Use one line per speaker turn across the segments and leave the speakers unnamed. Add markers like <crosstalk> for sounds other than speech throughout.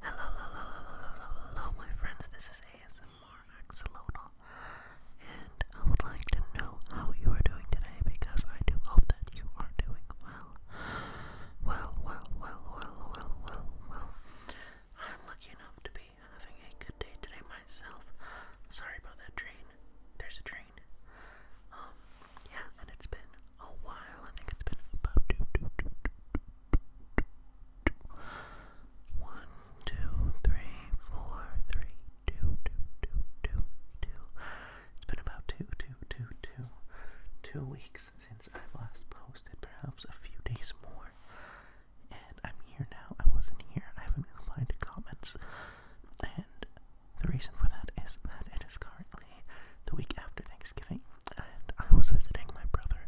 Hello, hello, hello, hello, hello, my friends. This is ASMR Axolotl, and I would like to know how you are doing today because I do hope that you are doing well. Well, well, well, well, well, well, well. I'm lucky enough to be having a good day today myself. Sorry about that train. There's a train. Um, yeah, and it's been a while. I think it's been about two, two, two, two, two, one, two, three, four, three, two, two, two, two, two. It's been about two, two, two, two, two weeks since i last posted, perhaps a few days more. And I'm here now. I wasn't here. I haven't been replied to comments. And the reason for that is that it is currently the week after Thanksgiving and I was visiting my brother.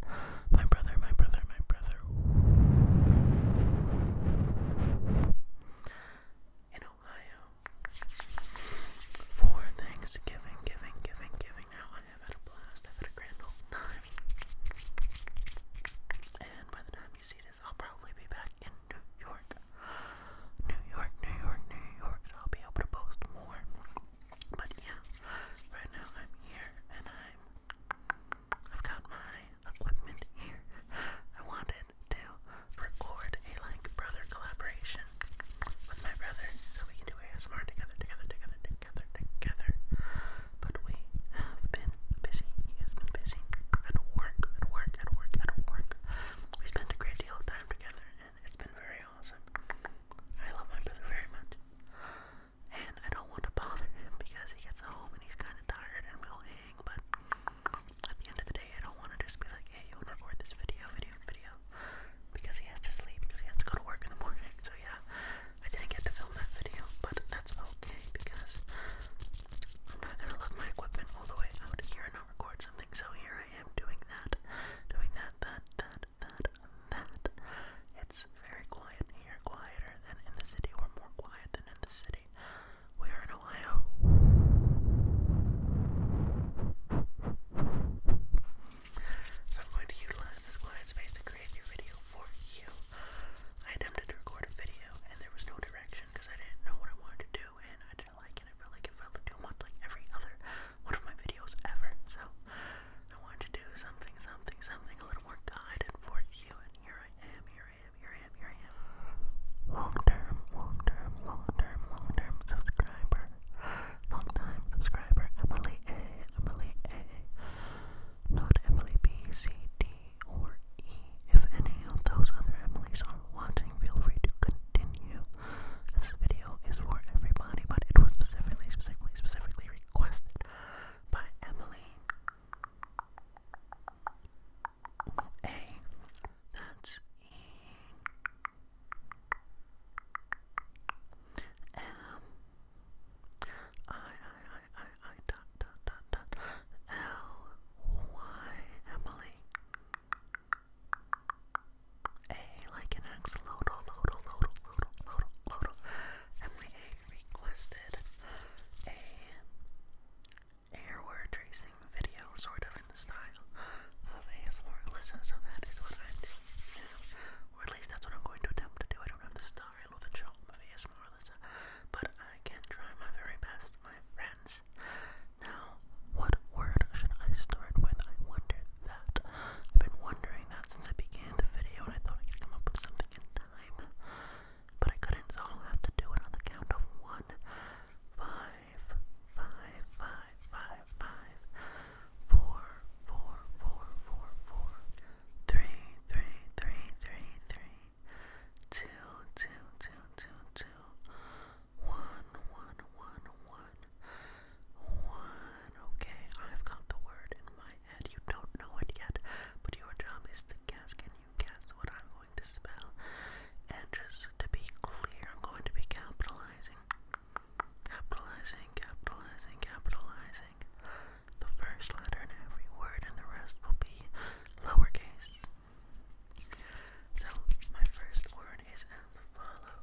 My brother, my brother, my brother. In Ohio. For Thanksgiving, giving, giving, giving. Now I have had a blast. i a grand old time. And by the time you see this, I'll probably be back in New York. New York, New York, New York. I'll be able to post more. But yeah, right now I'm here and I'm I've got my equipment here. I wanted to record a like brother collaboration with my brother so we can do ASMR together, together, together, together, together. But we have been busy. He has been busy at work, at work, at work, at work. We spent a great deal of time together it's been very awesome. I love my brother very much. And I don't want to bother him because he gets home and he's kind of tired and we'll hang, but at the end of the day, I don't want to just be like, hey, you want record this video, video, video, because he has to sleep, because he has to go to work in the morning. So, yeah, I didn't get to film that video, but that's okay because I'm not going to lug my equipment all the way out here and record something. So, here I am doing that, doing that, that, that, fat, fat, It's very quiet here, quieter than in the city, or more quiet than in the city. We are in Ohio. So I'm going to utilize this quiet space to create your video for you. I attempted to record a video and there was no direction because I didn't know what I wanted to do and I didn't like it. I felt like it felt too much like every other one of my videos ever. So I wanted to do something, something, something a little more guided for you, and here I am, here I am, here I am, here I am. Long term, long term, long term, long term subscriber. Long time subscriber, Emily A, Emily A. Not Emily B, C, D, or E. If any of those other Emilys are watching, feel free to continue. This video is for everybody, but it was specifically, specifically, specifically requested by Emily A. That's E. M. I, I, I, I, I, dot, dot, dot, L. Y. Emily. A like an axolotl, lotl, lotl, lotl, lotl, lotl. Emily A requested a airware tracing video, sort of in the style of ASMR Alyssa, so that is what I'm doing Or at least that's what I'm going to attempt to do. I don't have the style or the charm of ASMR Alyssa, but I can try my very best, my friends. Now, what word should I start with? I wonder that. I've been wondering that since I began the video, and I thought I could come up with something in time, but I couldn't, so I'll have to do it on the count of one, five, five, five, five, five, four, four, four, four, four, three, three, three, three, three, two, two, two, two, two, one, one, one, one. One. Okay, I've got the word in my head. You don't know it yet, but your job is to guess. Can you guess what I'm going to spell? And just to be clear, I'm going to be capitalizing, capitalizing, capitalizing, capitalizing the first letter in every word, and the rest will be lowercase. So, my first word is as follows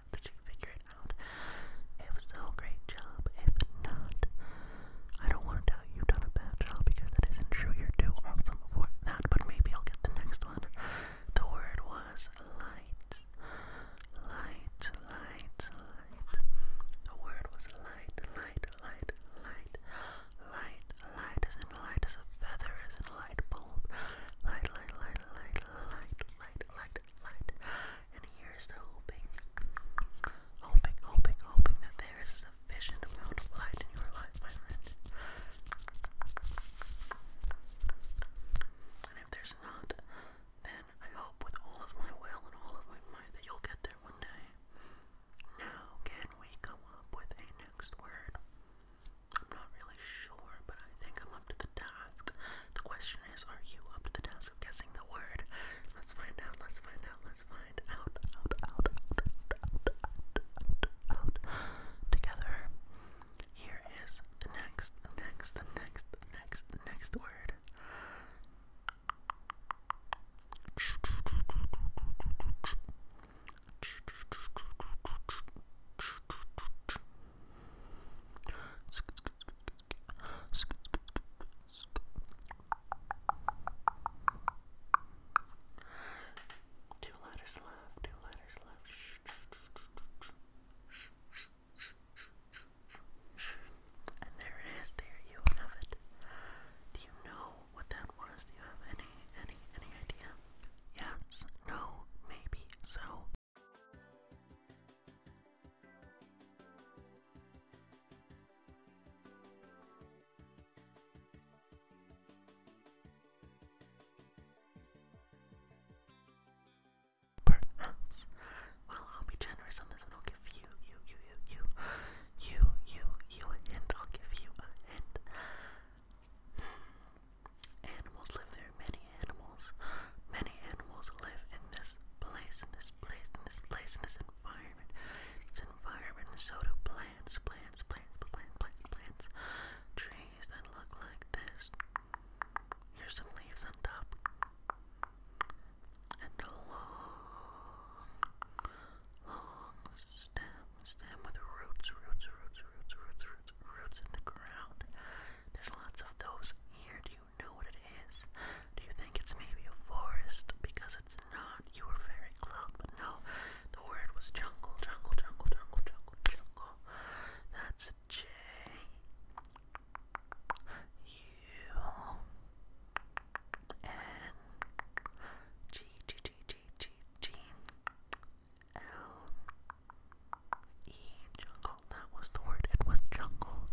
that you figure it out. If so, great job. If not, I don't want to tell you you've done a bad job because that isn't true. You're too awesome for that, but maybe I'll get the next one. The word was light. Light, light, light. The word was light, light, light, light. Light, light as in light as a feather, as in light bulb. Light, light, light, light, light, light, light, light. And here's the hoping, hoping, hoping, hoping that there is sufficient amount of light in your life, my friend. And if there's not, then I hope with all of my will and all of my might that you'll get there one day. Now, can we come up with a next word? I'm not really sure, but I think I'm up to the task. The question is, are you up to the task of guessing the word? Let's find out, let's find out, let's find out, out, out, out, out, out, out, together. Here is the next, the next, the next, next, next word. Two letters left, two letters left. Shh, shh, shh, shh, shh. And there it is, there you have it. Do you know what that was? Do you have any, any, any idea? Yes, no, maybe, so, Perhaps. Well, I'll be generous on this one. I'll give you, you, you, you, you, you, you, you a hint. I'll give you a hint. Animals live there. Many animals, many animals live in this place, in this place, in this place, in this environment. This environment, so do plants, plants, plants, plants, plants, plants. Trees that look like this. Here's some leaves on top. And a long, long stem, stem with roots, roots, roots, roots, roots, roots, roots in the ground. There's lots of those here. Do you know what it is? Do you think it's maybe a forest? Because it's not. You were very close, but no. The word was jungle, jungle, jungle, jungle, jungle, jungle. That's J. U. N. G, G, G, G, G, G. L jungle, that was the word, it was jungle.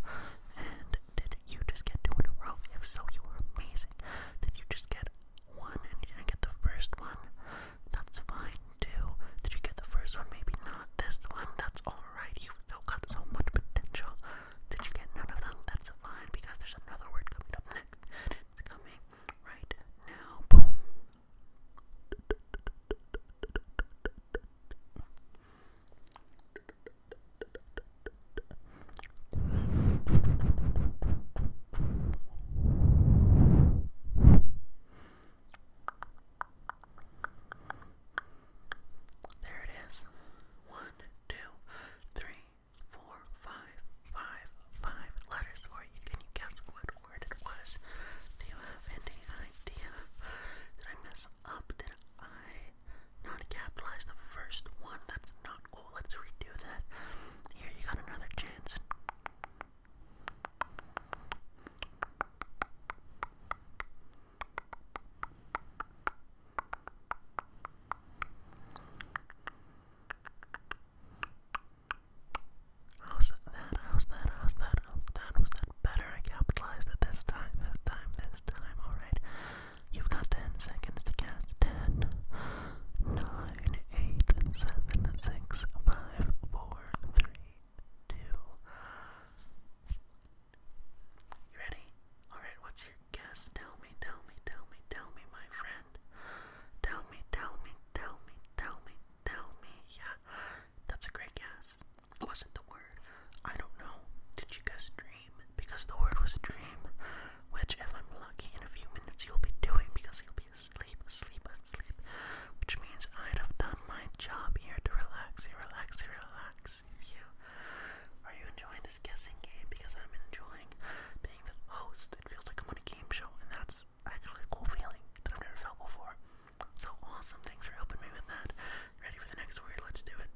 And did you just get two in a row? If so, you were amazing. Did you just get one and get the first one? That's fine too. Did you get the first one? Maybe not this one. That's alright. You've still so much potential. Did you get none of them? That's fine because there's another word coming up next. It's coming right now. Boom. There it is. One, two, three, four, five, five, five letters for you. Can you guess what word it was. Do you have any idea? Did I mess up? Did I not capitalize the first one? That's not cool. Let's redo that. Here, you got another chance. How's that? How's that? How's that? How's that? Was that better? I capitalized it this time, this time, this time. Alright. You've got 10 seconds to cast. 10, 9, 8, 7, 6, 5, 4, 3, 2. You ready? Alright, what's your guess? Tell me, tell me, tell me, tell me, my friend. Tell me, tell me, tell me, tell me, tell me. Yeah. That's a great guess. Wasn't the word. I don't know. Did you guess dream? Because the word was a dream. Which, if I'm lucky, in a few minutes you'll be doing because you'll be asleep, asleep, asleep. Which means I'd have done my job here to relax you, relax you, relax you. Are you enjoying this guessing game? Because I'm enjoying being the host. It feels like I'm on a game show, and that's actually a cool feeling that I've never felt before. So awesome, thanks for helping me with that. Ready for the next story? Let's do it.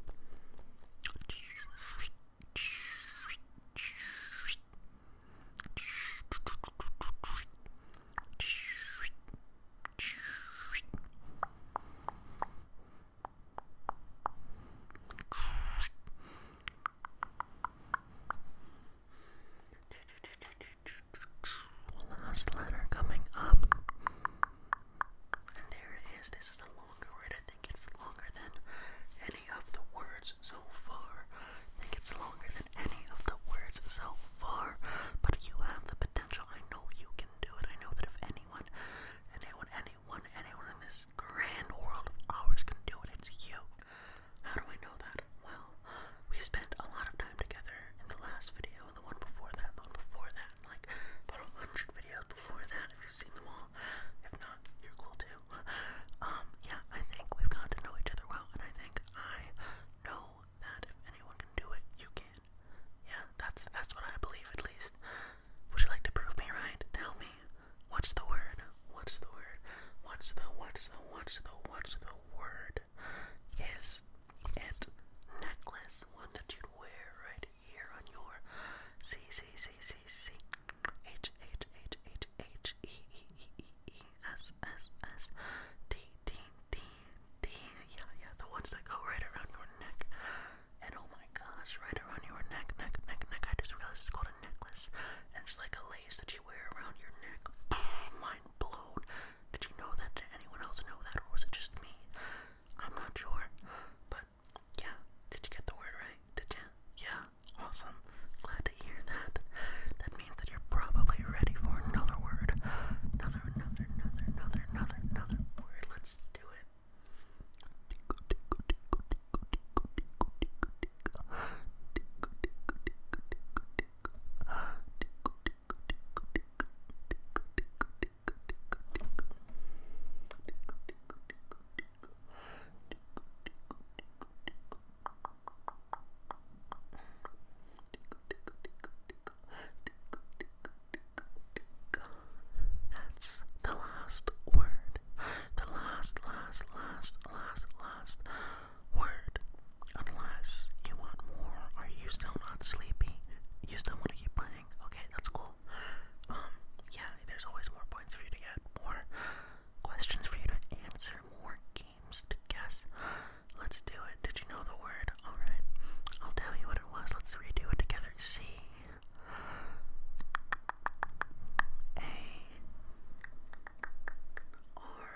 Last letter coming up. And there it is. This is a longer word. I think it's longer than any of the words so far. I think it's longer than any of the words so far. But you have the potential. I know you can do it. I know that if anyone, anyone, anyone, anyone in this grand world of ours can do it, it's you. How do I know that? Well, we spent a lot of time together in the last video ago, and the one before that, and the one before that, and like about a hundred videos before that if you've seen them all. If not, you're cool too. Um, yeah, I think we've gotten to know each other well, and I think I know that if anyone can do it, you can. Yeah, that's that's what I believe at least. Would you like to prove me right? Tell me. What's the word? What's the word? What's the what's the what's the what's the word? is it necklace, one that you wear right here on your C C C C C H H H H H E E E E S S S T T T T yeah yeah the ones that go right around your neck and oh my gosh right around your neck neck neck neck I just realized it's called a necklace and it's like a lace that you wear around your neck mind blown did you know that? Did anyone else know that, or was it just me? I'm not sure. But yeah, did you get the word right? Did you? Yeah, awesome. Glad to hear that. That means that you're probably ready for another word. Another, another, another, another, another, another word. Let's do it. That's the last word. The last, last, last, last, last word. Unless you want more, are you still not sleepy? You still want to keep playing? Okay, that's cool. Um, yeah, there's always more points for you to get, more questions for you to answer, more games to guess. Let's do it. Did you know the word? Alright, I'll tell you what it was. Let's redo it together. C. A. R.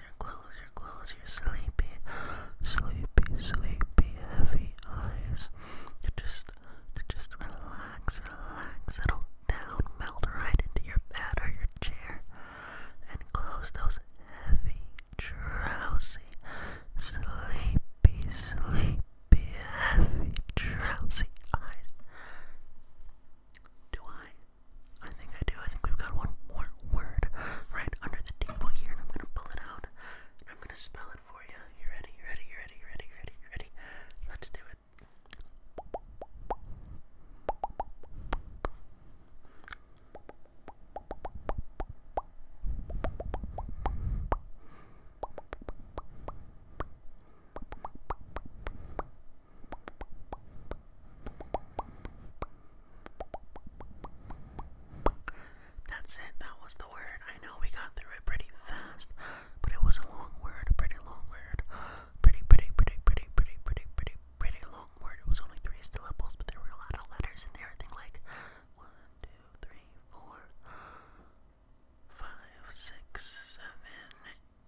close your, close sleepy, sleepy, sleepy, heavy eyes. just, just relax, relax, settle down, melt right into your bed or your chair, and close those heavy, drowsy, sleepy, sleepy, heavy, drowsy eyes. Do I I think I do. I think we've got one more word right under the table here, and I'm gonna pull it out I'm gonna spell it for you. You ready? You ready? You ready? ready? ready? ready? Let's do it. That's it, that was the word. I know we got through it pretty fast, but it was a long word, a pretty long word. <gasps> Pretty, pretty, pretty, pretty, pretty, pretty, pretty, long word. It was only three syllables, but there were a lot of letters in there. I think like one, two, three, four, <gasps> five, six, seven,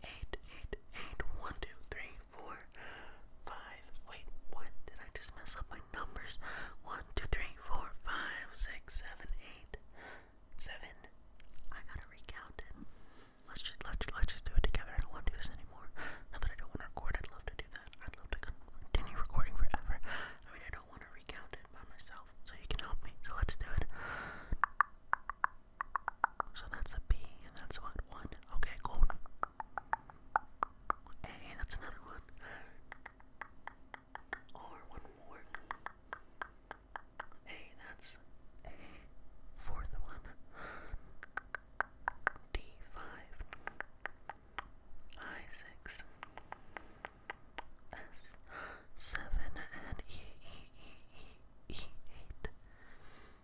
eight, eight, eight, one, two, three, three, four, five. Wait, what? Did I just mess up my numbers? One, two, three, four, five, six, seven, eight, seven. I gotta recount it. Let's just let's let's just do it together. I don't want to do this anymore. Now that I don't want to record, I'd love to do that. I'd love to continue recording forever. I mean, I don't want to recount it by myself. So you can help me. So let's do it. So that's a B, and that's what one. Okay, cool. Hey, that's another one. Or one more. Hey, that's a fourth one. D5. I6. S7 and E, E, E, E, E8.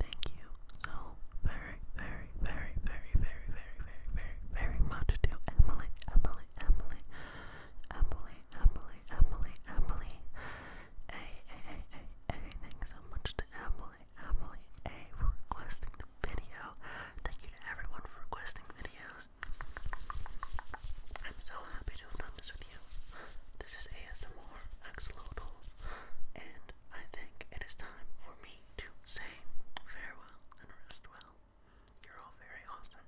Thank you so very, very, very, very, very, very, very, very, very much to Emily, Emily, Emily, Emily, Emily, Emily, Emily. Hey, hey, hey, hey, hey, thanks so much to Emily, Emily, A for requesting the video. Thank you to everyone for requesting videos. I'm so happy to have done this with you. This is ASMR Axolotl, and I think it is time for me to say farewell and rest well. You're all very awesome.